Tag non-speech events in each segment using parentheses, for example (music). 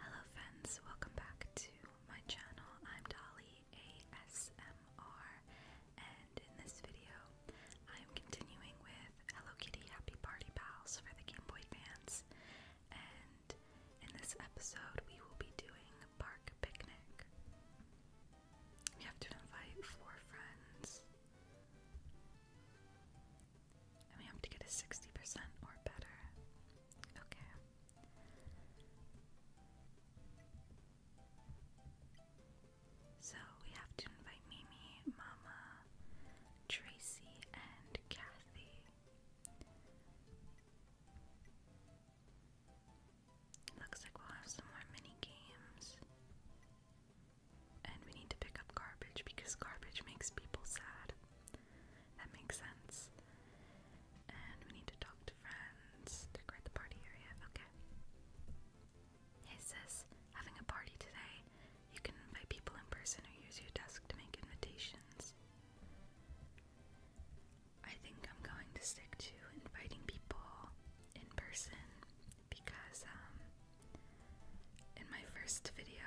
Hello friends, welcome back to my channel. I'm Dolly ASMR and in this video I'm continuing with Hello Kitty Happy Party Pals for the Game Boy fans and in this episode we will be doing Park Picnic. We have to invite four friends. And we have to get a 60% or better. Okay. So we have to invite Mimi, Mama, Tracy, and Kathy. Looks like we'll have some more mini games. And we need to pick up garbage because garbage makes people sad. That makes sense. And we need to talk to friends. Decorate the party area. Okay. Hey sis, having a party today. You can invite people in person or use your desk to make invitations. I think I'm going to stick to inviting people in person because um, in my first video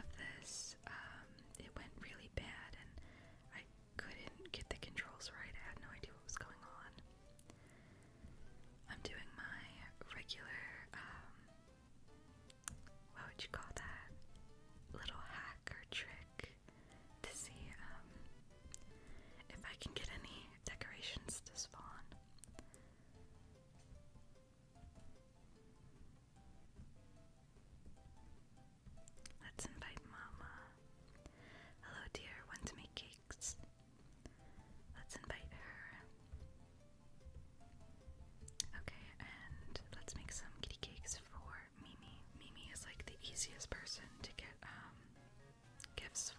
of this, um, it went really bad and I couldn't get the controls right. I had no idea what was going on. I'm doing my regular, um, what would you call that? Little hack or trick to see um, if I can get any decorations to spawn. Let's invite Mama. Hello, dear. Want to make cakes? Let's invite her. Okay, and let's make some kitty cakes for Mimi. Mimi is like the easiest person to get um, gifts for.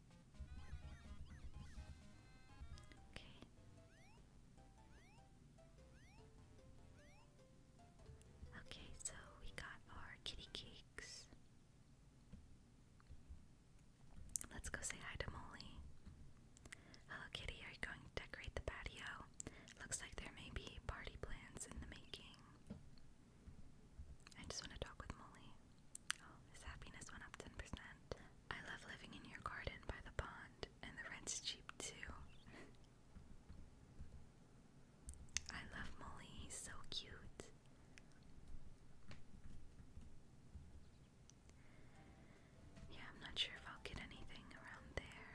Okay. Okay, so we got our kitty cakes. Let's go say hi to Molly. Hello, kitty. Are you going to decorate the patio? Looks like there may be party plans in the making. I just want to talk with Molly his happiness went up 10%. I love living in your garden by the pond, and the rent's cheap too. I love Molly, he's so cute. Yeah, I'm not sure if I'll get anything around there.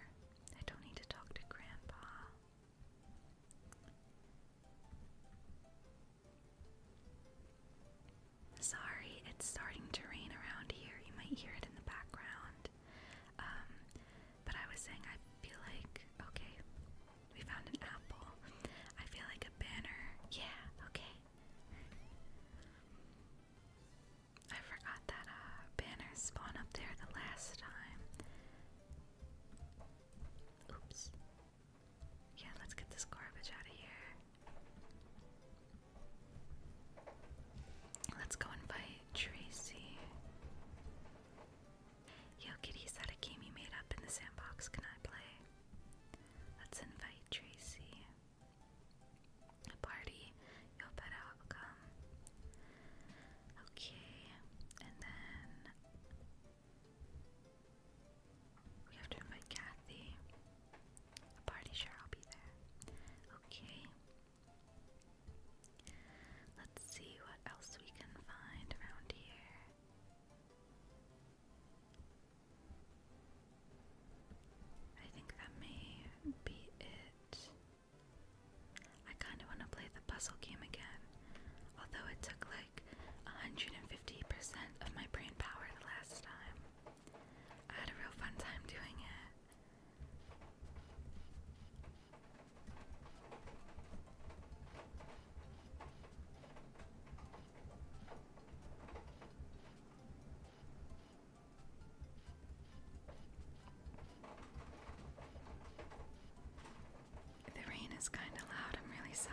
I don't need to talk to Grandpa. Sorry, it's starting to rain around here. You might hear it in the background. Um, but I was saying, I feel like, okay, we found an apple. I feel like a banner. Yeah, okay. I forgot that uh, banners spawn up there the last time. Oops. Yeah, let's get this garbage out of here. Let's go invite Tracy. Yo, kitty, is a game you made up in the sandbox? Can I play? Let's invite Tracy. A party. Yo, better I'll come. Okay, and then we have to invite Kathy. party, sure, I'll be there. Okay. Let's see what else we can find around here. I think that may be it. I kind of want to play the puzzle game again, although it took like 150% of my brain power the last time. I had a real fun time doing it. The rain is kind of loud, I'm really sorry.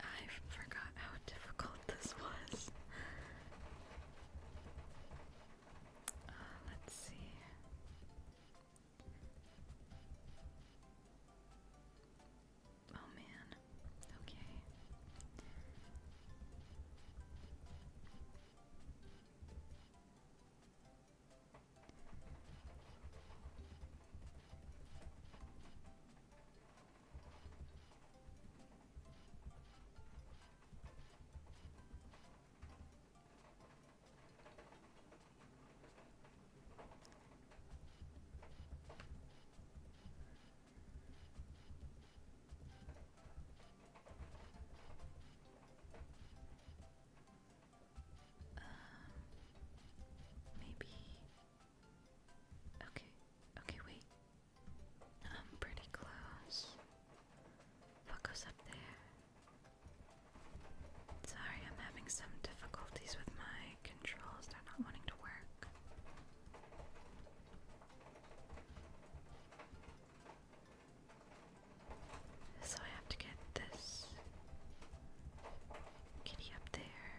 I forgot how difficult this was. Uh, let's see. Oh man. Okay. Um, maybe. Okay. Okay. Wait. I'm pretty close. What goes up there? Sorry, I'm having some difficulties with my controls. They're not wanting to work. So I have to get this kitty up there.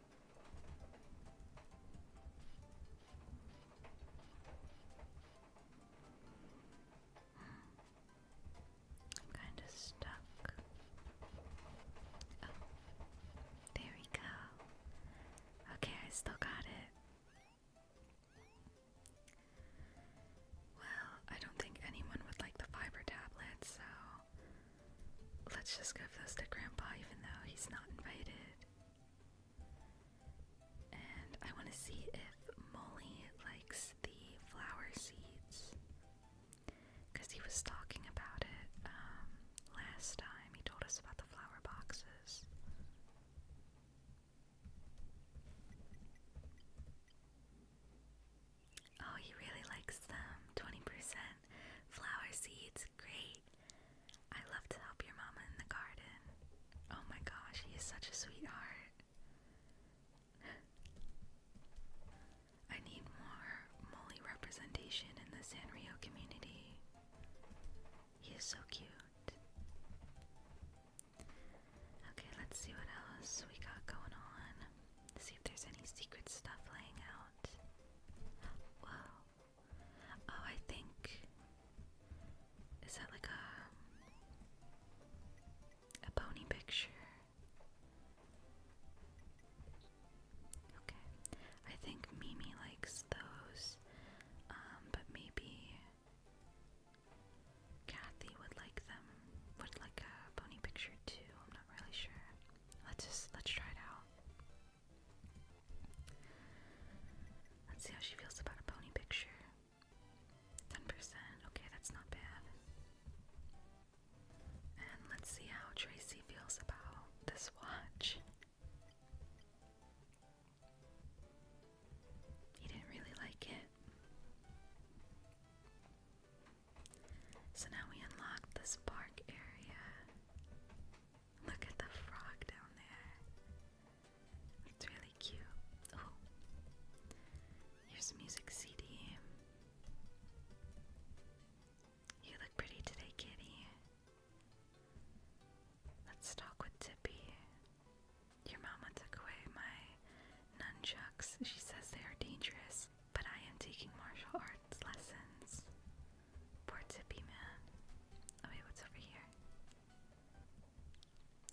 I'm kind of stuck. Oh, there we go. Okay, I still got it. Well, I don't think anyone would like the fiber tablets, so let's just give those to Grandpa, even though he's not invited. And I want to see if Molly likes the flower seeds. Because he was talking about it um, last time. He told us about the flower boxes. Oh, he really likes them. 20% flower seeds. Great. I love to help your mama in the garden. Oh my gosh, he is such a sweetheart. I need more Molly representation in the Sanrio community. He is so cute. Okay, let's see what else we got going on. See if there's any secret stuff laying out. Whoa. Oh, I think. Is that like a. a pony picture? Okay. I think Mimi likes those, um, but maybe. Kathy would like them. Would like a pony picture too. I'm not really sure. Let's let's try it out. Let's see how she feels about a pony picture. 10%. Okay, that's not bad. And let's see how Tracy feels about this watch. He didn't really like it. So now we unlock the spark area. Look at the frog down there. It's really cute. Oh, here's music CD. You look pretty today, kitty. Let's talk with Tippy. Your mama took away my nunchucks. She says they are dangerous, but I am taking martial arts lessons. Poor Tippy Man. Oh what's over here?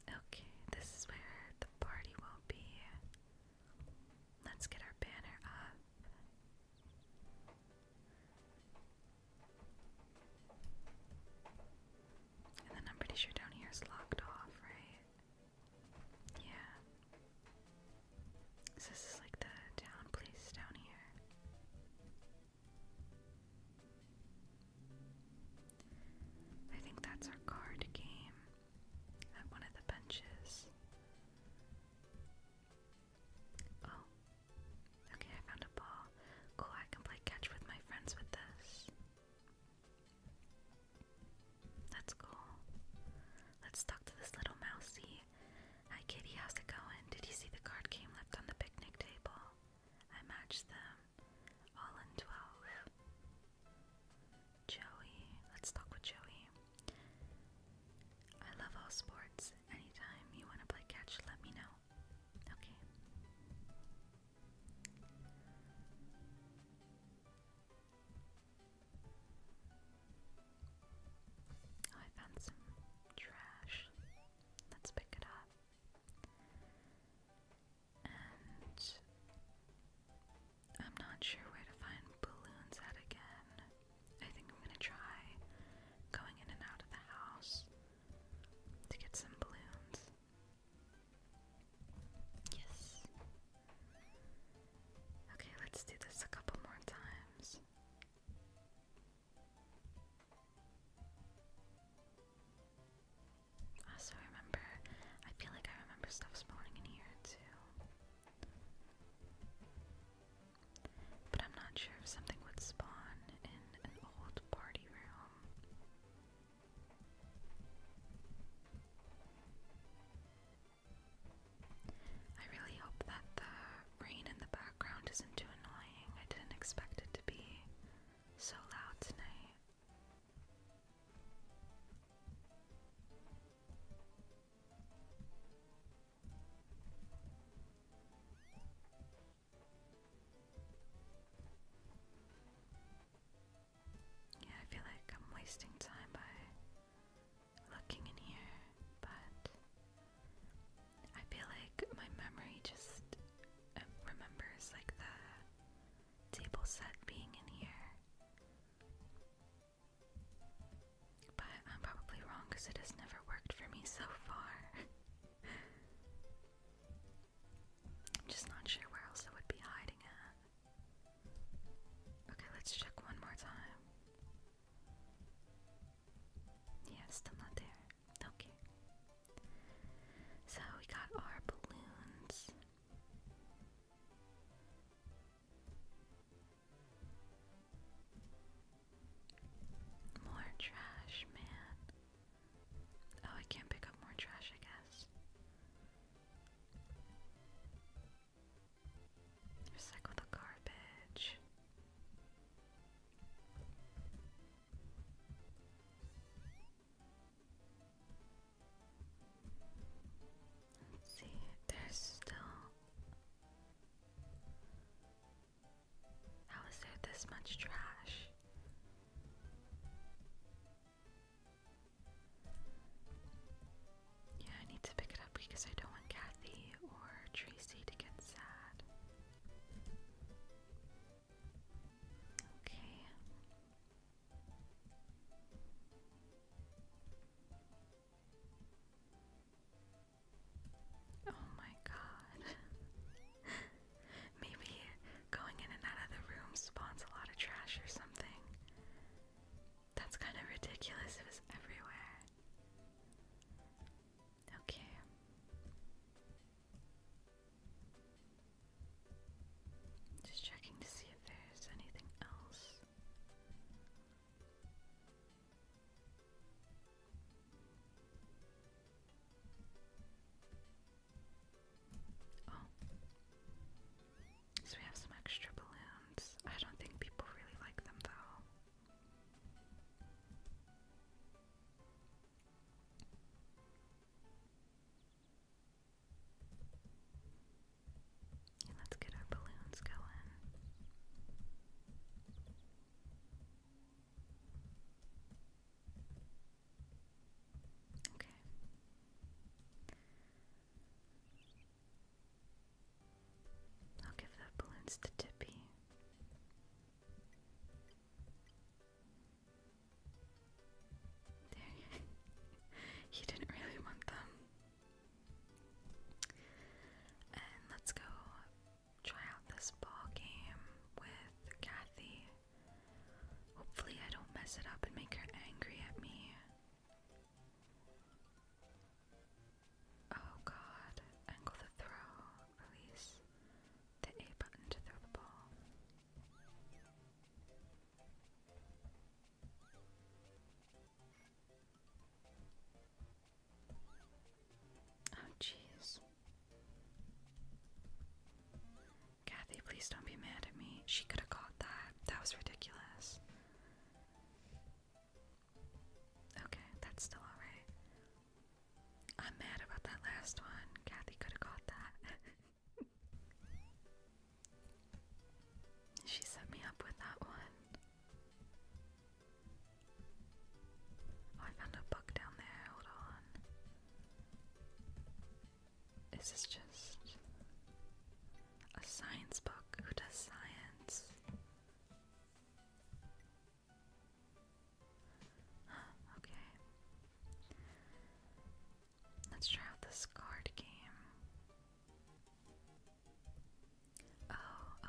Okay, this is where the party will be. Let's get our banner up. And then I'm pretty sure down here is locked off, right? Yeah. So this is like the town place down here. I think that's our card game at one of the benches. Oh, okay, I found a ball. Cool, I can play catch with my friends with this. That's cool. Let's talk to this little mousey. Hi Kitty, how's it going? Did you see the card game left on the picnic table? I matched them. All in 12. Joey, let's talk with Joey. I love all sports. Anytime you want to play catch, let me know. Okay. Oh, I found some trash. Let's pick it up. And I'm not sure where to find balloons at again. I think I'm gonna try going in and out of the house to get some balloons. Yes. Okay, let's do this a couple more times. Also, I remember, I feel like I remember stuff spawning in here too. But I'm not sure if something would spawn in an old party room. I really hope that the rain in the background isn't too annoying. I didn't expect it to be so loud tonight. Yeah, I feel like I'm wasting time by looking in here, but I feel like my memory just um, remembers like the table set being in here. But I'm probably wrong because it has never worked for me so far. (laughs) I'm just not sure where else it would be hiding at. Okay, let's check one more time. Yeah, still not there. Okay. So we got our balloons. More trash, man. Oh, I can't pick up more trash, I guess. Recycle the garbage see, there's still. How is there this much trash? Yeah, I need to pick it up because I don't want Kathy or Tracy to get sad. Okay. Oh my god. (laughs) Maybe going in and out of the room spawns a lot of trash or something. That's kind of ridiculous. It was everywhere. Okay. Just checking to see if there's anything else. Oh. So we have some extra balloons. I don't think people really like them though. Let's get our balloons going. Okay. I'll give the balloons to Tippy he (laughs) didn't really want them. let's go try out this ball game with Kathy. Hopefully, I don't mess it up and make her angry at me. Oh god, angle the throw, release the A button to throw the ball. Oh, jeez. Kathy, please don't be mad at me. She could have caught that. That was ridiculous. Okay, that's still alright. I'm mad about that last one. Kathy could have caught that. (laughs) she set me up with that one. Oh, I found a book down there. Hold on. Is just a science book? Who does science? (gasps) okay. Let's try out this card game. Oh,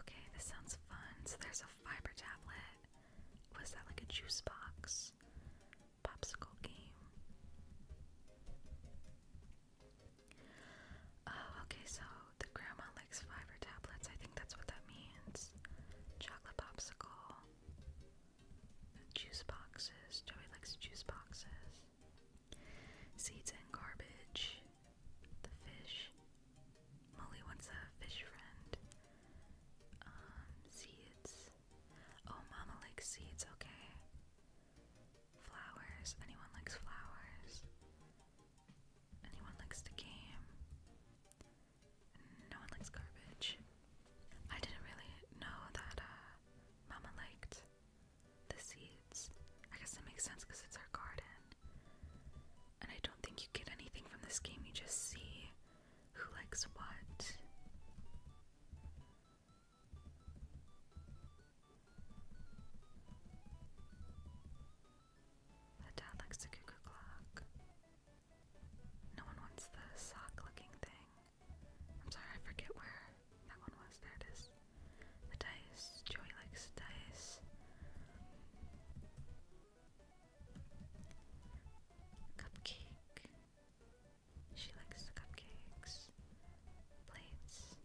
okay, this sounds fun. So there's a fiber tablet. Was that like a juice box? Popsicle game. Oh, okay, so the grandma likes fiber tablets. I think that's what that means. Chocolate popsicle juice boxes. Joey likes juice boxes. Seeds and garbage. The fish. Molly wants a fish friend. Um, seeds. Oh, Mama likes seeds, okay. Flowers. Anyone likes flowers? Anyone likes the game? No one likes garbage. I didn't really know that uh, Mama liked the seeds. I guess that makes sense because it's our garden. And I don't think you get anything from this game, you just see who likes what. dad likes the cuckoo clock. No one wants the sock looking thing. I'm sorry, I forget where that one was. There it is. The dice. Joey likes dice. Cupcake. She likes the cupcakes. Plates.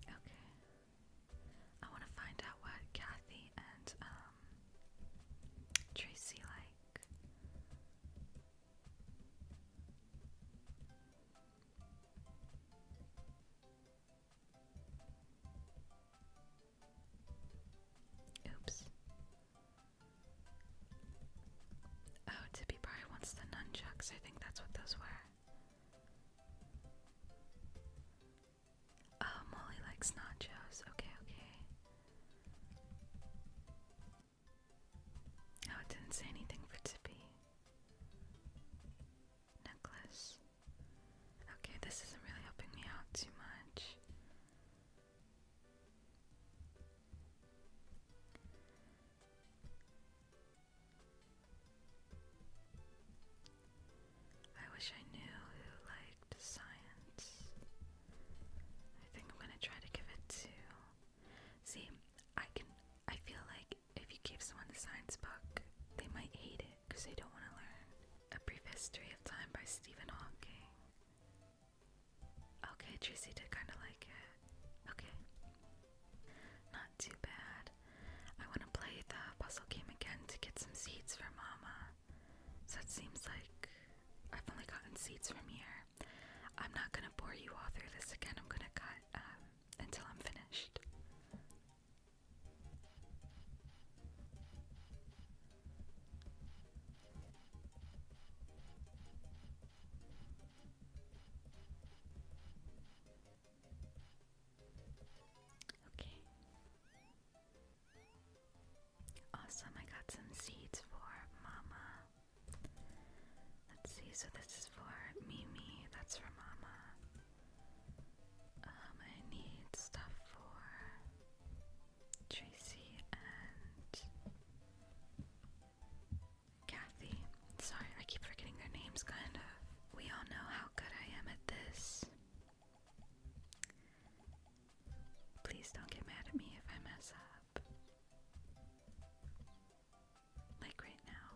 Okay. I want to find out what Kathy and um, Tracy like. Oops. Oh, Tippy probably wants the nunchucks. I think that's what those were. Oh, Molly likes nachos. Okay, okay. Oh, it didn't say anything for Tippy. Necklace. Okay, this isn't really helping me out too much. I wish I knew who liked science. I think I'm gonna try to give it to. See, I can. I feel like if you give someone the science book, they might hate it because they don't want to learn. A Brief History of Time by Stephen Hawking. Okay, Tracy did kind of like it. Okay. Not too bad. I want to play the puzzle game again to get some seeds for Mama. So it seems like I've only gotten seeds from here. I'm not gonna bore you all through this again. I'm gonna cut um, until I'm finished. Okay. Awesome, I got some seeds for Mama. Let's see, so this is for Mimi, that's for Mama. Um, I need stuff for Tracy and Kathy. Sorry, I keep forgetting their names, kind of. We all know how good I am at this. Please don't get mad at me if I mess up. Like right now.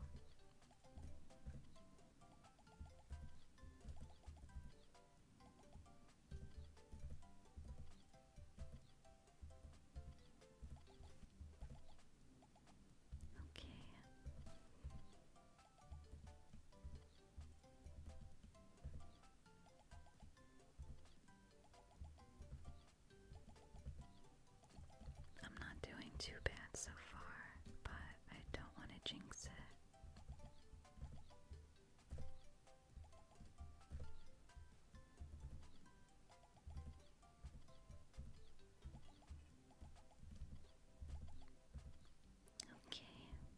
Okay. I'm not doing too bad so far, but I don't want to jinx it. Okay,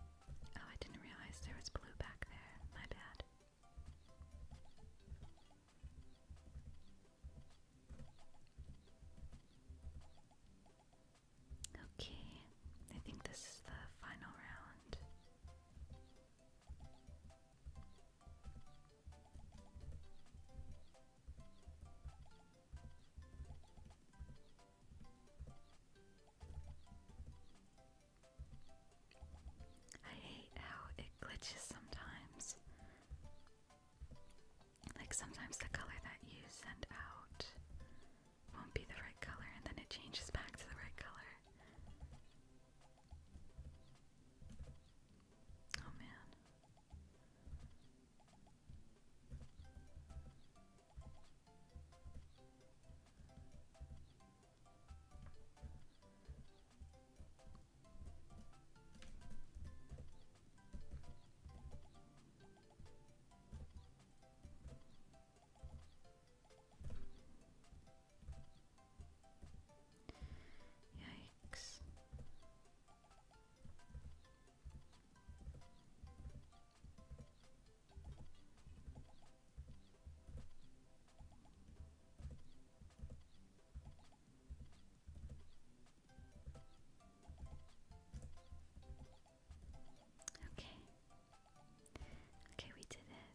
Oh, I didn't realize there was blue back there. My bad. Okay, I think this is the final round. I hate how it glitches sometimes. Like sometimes the color that you send out won't be the right color and then it changes back to the right color. Oh man. Yikes. Okay. Okay, we did it.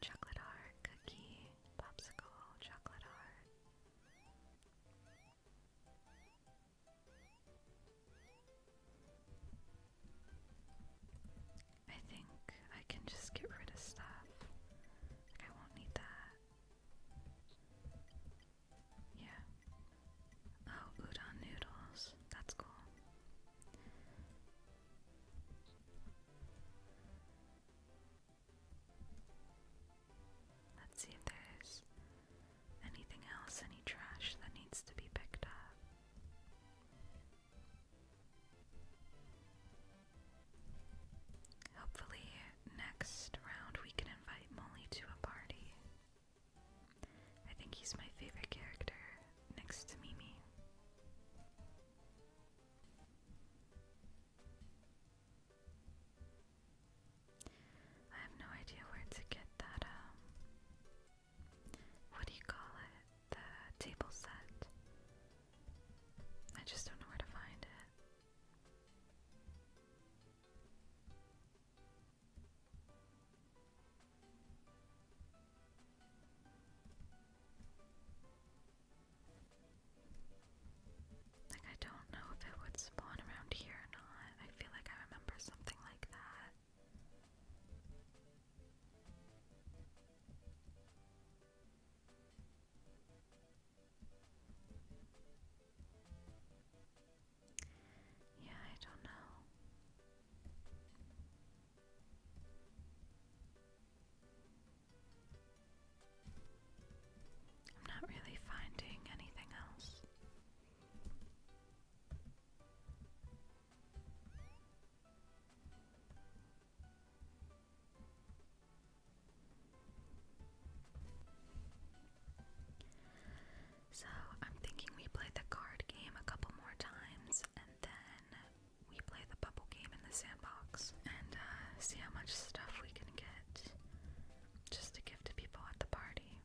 Chocolate heart, cookie, popsicle, chocolate heart. I think I can just get rid of stuff. I won't need that. Yeah. Oh, udon noodles. That's cool. Let's see if there's anything else, any trash that needs to be picked up. Hopefully, next round we can invite Molly to a party. I think he's my favorite character next to Mimi. I have no idea where to get that um, what do you call it? The table set. I just don't know where to find it. Like, I don't know if it would spawn around here or not. I feel like I remember something like that. Yeah, I don't know. I'm not really finding anything else. So, I'm thinking we play the card game a couple more times and then we play the bubble game in the sandbox and uh, see how much stuff we can get just to give to people at the party.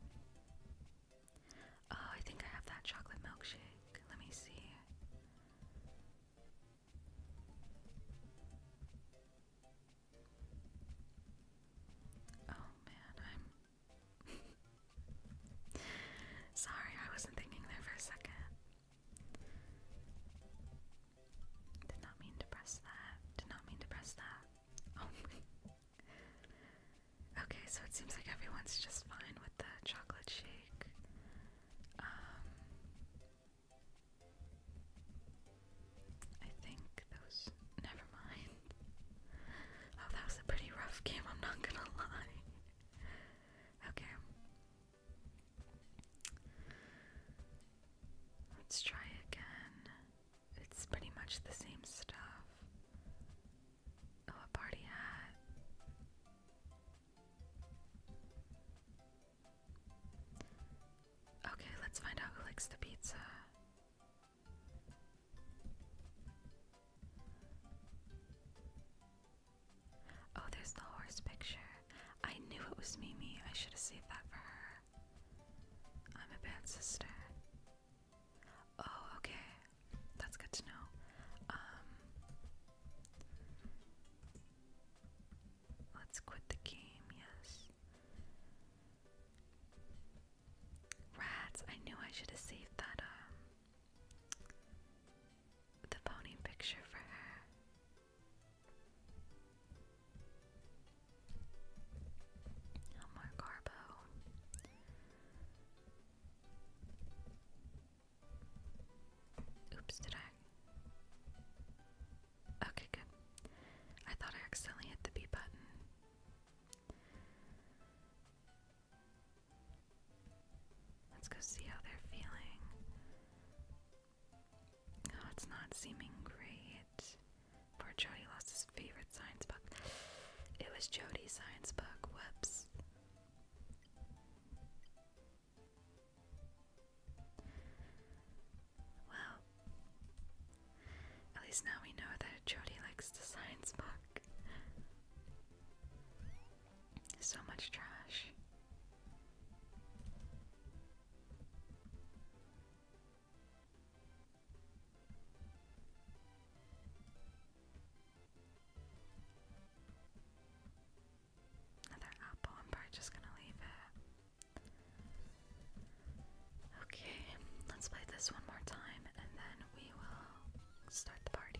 Oh, I think I have that chocolate milkshake. Let me see. Oh man, I'm (laughs) sorry, I wasn't thinking there for a second. Did not mean to press that. Did not mean to press that. Oh Okay, so it seems like everyone's just fine with the chocolate shake. Um, I think those. Never mind. Oh, that was a pretty rough game, I'm not gonna (laughs) lie. Okay. Let's try again. It's pretty much the same stuff. Oh, a party hat. Okay, let's find out who likes the pizza. Oh, there's the horse picture. I knew it was Mimi. I should have saved that for her. I'm a bad sister. Oh, okay. That's good to know. Um, let's quit the game, yes. Rats, I knew I should have saved that um, the pony picture for her. No more Oops, did I? Okay, good. I thought I accidentally hit the B button. Let's go see how they're feeling. Oh, it's not seeming great. Poor Jody lost his favorite science book. It was Jody's science book. Whoops. Well, at least now we know that Jody likes the science book. So much trash. Another apple. I'm probably just gonna leave it. Okay, let's play this one more time and then we will start the party.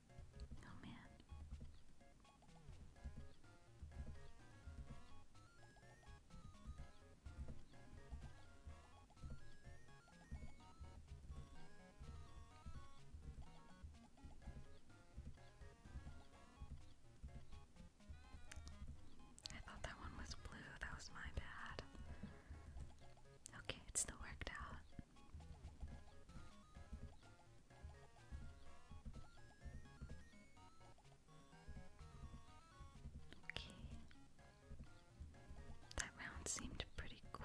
Oh man. I thought that one was blue. That was my bad. Okay, it's still worked out. Okay. That round seemed pretty quick.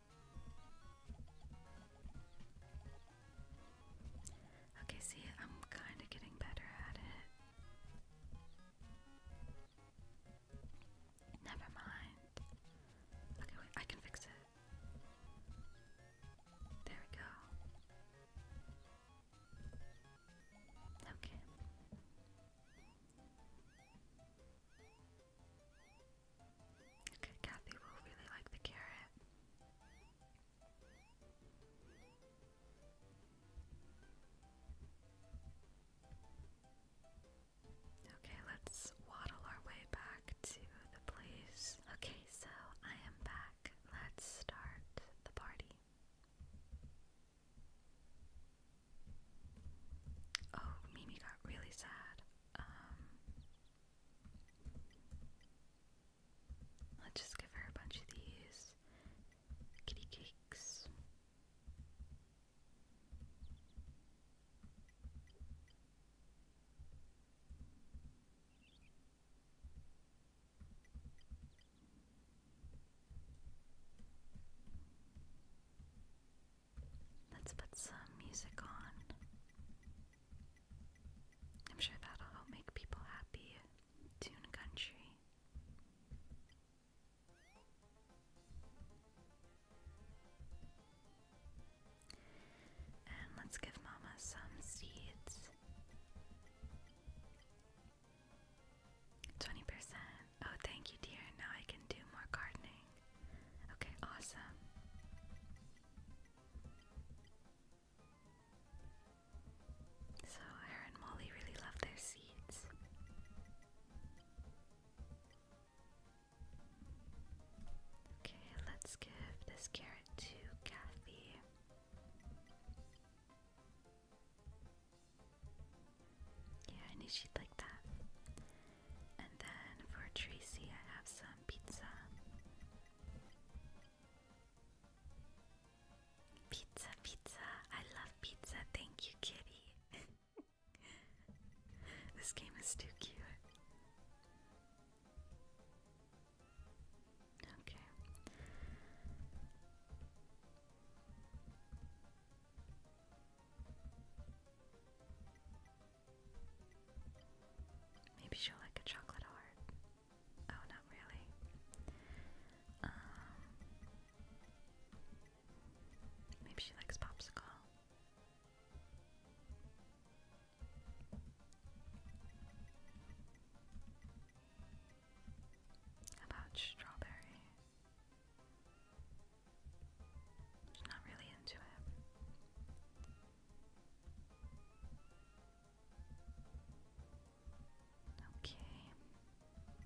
Okay, see, I'm kind of getting better at it. Never mind. Okay, wait, I can fix it. There we go. Okay. Okay, Kathy will really like the carrot. Okay, let's waddle our way back to the place. Okay, so I am back. Let's start the party. Oh, Mimi got really sad. Um, let's just give her a bunch of these kitty cakes. Let's put some music on. I'm sure that'll help make people happy. Tune country. And let's give Mama some seeds. 20%. Oh, thank you, dear. Now I can do more gardening. Okay, awesome. So, Hera and Molly really love their seeds. Okay, let's give this carrot to Kathy. Yeah, I knew she'd like that. And then for Tracy, I have some pizza. Pizza, pizza. I love pizza. Thank you, kitty. (laughs) this game is too cute. Okay. Maybe she'll like a chocolate heart. Oh, not really. Um, maybe she likes popsicle. about strawberry? Just not really into it. Okay. Yeah,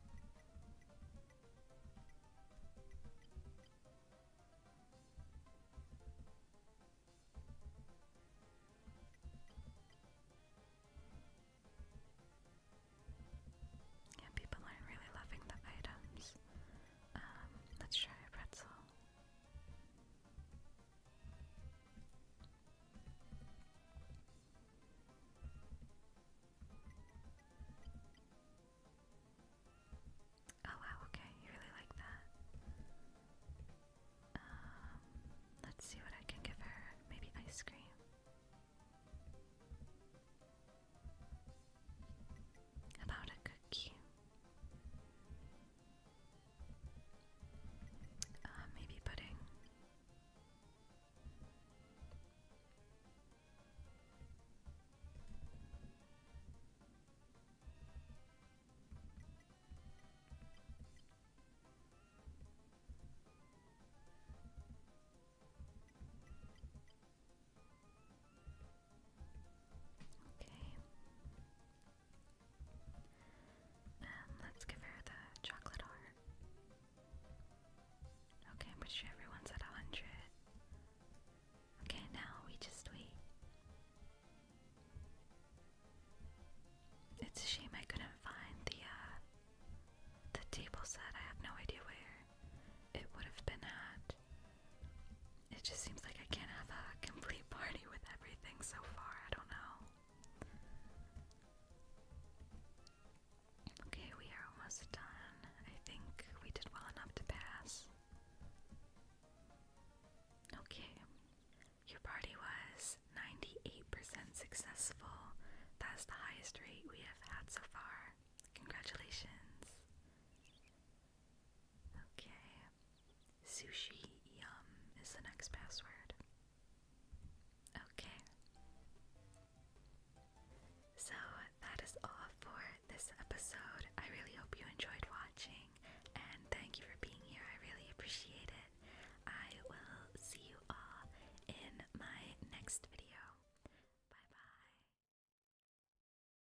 people aren't really loving the items. Um, let's try a pretzel. Oh wow, okay, you really like that. Um, let's see what I can give her. Maybe ice cream about a cookie. Uh, maybe pudding. Okay. Um, let's give her the chocolate heart. Okay, I'm pretty sure everyone's at 100. Okay, now we just wait. It's a shame I couldn't find the uh, the table set. I have no idea where it would have been at. It just seems like I can't have a complete party with everything so far. I don't know. Okay, we are almost done. I think we did well enough to pass. Okay. Your party was 98% successful. That's the highest rate we have had so far. Congratulations. Okay. Sushi yum is the next password. Okay. So that is all for this episode. I really hope you enjoyed watching and thank you for being here. I really appreciate it. I will see you all in my next video. Bye bye.